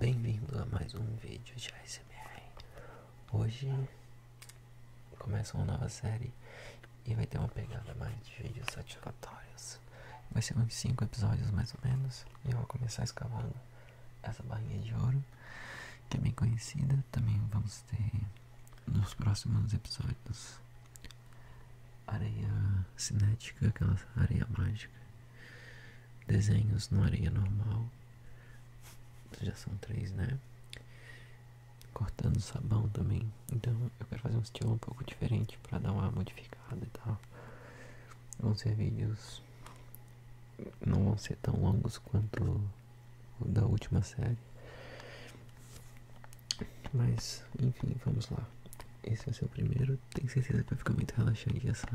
Bem-vindo a mais um vídeo de ASMR. Hoje começa uma nova série e vai ter uma pegada mais de vídeos satisfatórios. Vai ser uns 5 episódios mais ou menos e eu vou começar escavando essa barrinha de ouro, que é bem conhecida. Também vamos ter nos próximos episódios areia cinética, aquela areia mágica, desenhos na areia normal, já são três, né? Cortando sabão também. Então eu quero fazer um estilo um pouco diferente para dar uma modificada e tal. Vão ser vídeos não vão ser tão longos quanto o da última série. Mas, enfim, vamos lá. Esse vai ser o primeiro. Tenho certeza que vai ficar muito relaxante essa.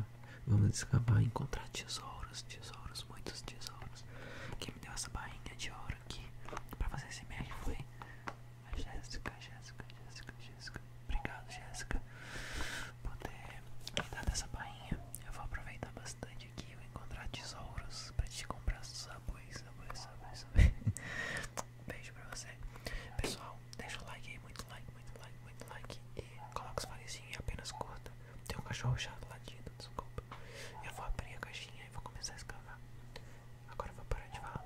Vamos escavar e encontrar tesouros, tesouros, muitos tesouros. Quem me deu essa bainha de ouro aqui pra fazer esse MR foi a Jéssica, Jéssica, Jéssica, Jéssica. Obrigado, Jéssica, por ter me dado essa bainha. Eu vou aproveitar bastante aqui. Vou encontrar tesouros pra te comprar sabões, sabões, sabões, sabões. Beijo pra você. Pessoal, deixa o like aí. Muito like, muito like, muito like. E coloca os farezinhos e apenas curta. Tem um cachorro chato latindo, desculpa. Eu vou abrir a caixinha e vou começar a escavar. Agora eu vou parar de falar.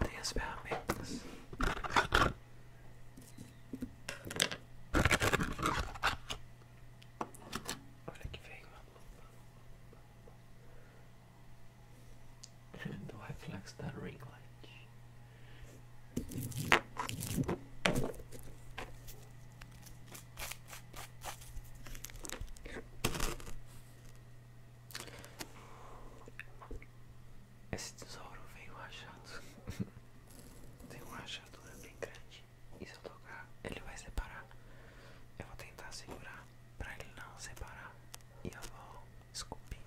These bombings. Olha que veio do I flex that ring light? Esse tesouro veio rachado. Tem uma rachadura bem grande. E se eu tocar, ele vai separar. Eu vou tentar segurar pra ele não separar. E eu vou Desculpe.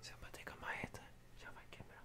Se eu bater com a marreta, já vai quebrar.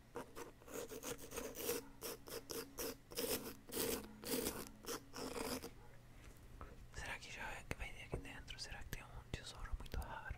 Será que já é que vai ter aqui dentro? Será que tem um tesouro muito raro?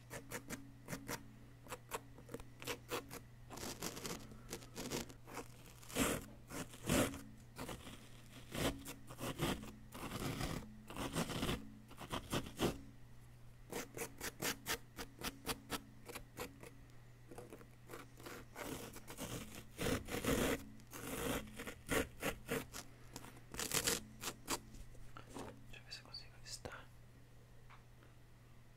Deixa eu ver se eu consigo listar.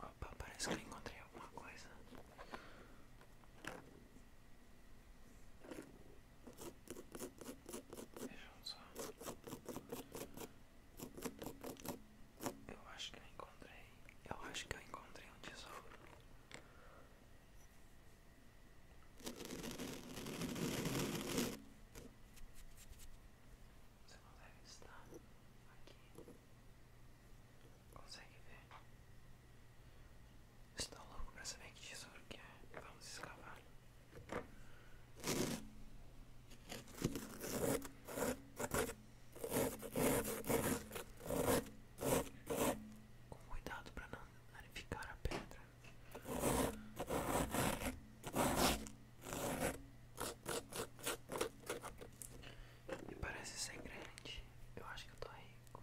Opa, parece que eu encontrei alguma coisa. Vejam só. Eu acho que eu encontrei. Eu acho que eu encontrei um tesouro. Você não deve estar aqui. Consegue ver? Estou tá louco pra saber que tesouro que é. Vamos escavar. Com cuidado para não danificar a pedra me parece ser grande. Eu acho que eu tô rico.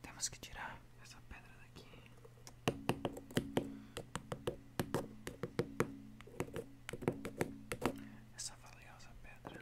Temos que tirar essa pedra daqui. Essa valiosa pedra.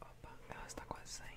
Opa, ela está quase saindo.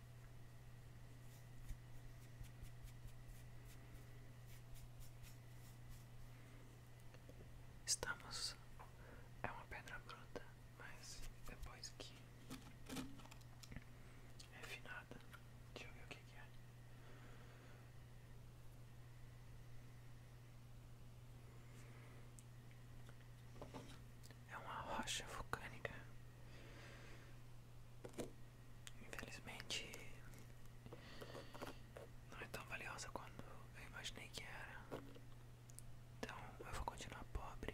Estamos. É uma pedra bruta, mas depois que refinada. É deixa eu ver o que, que é. É uma rocha vulcânica Infelizmente não é tão valiosa quanto eu imaginei que era. Então eu vou continuar pobre.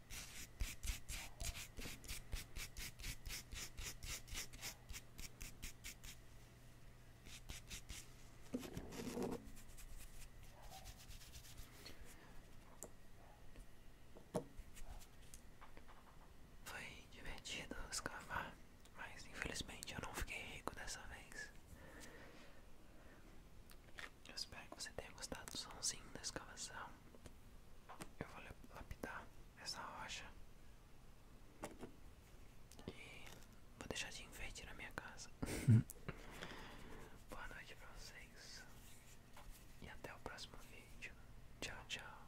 Foi divertido escavar, mas infelizmente eu não fiquei rico dessa vez. espero que você tenha gostado do somzinho da escavação eu vou lapidar essa rocha e vou deixar de enfeite na minha casa. Boa noite pra vocês e até o próximo vídeo. Tchau, tchau.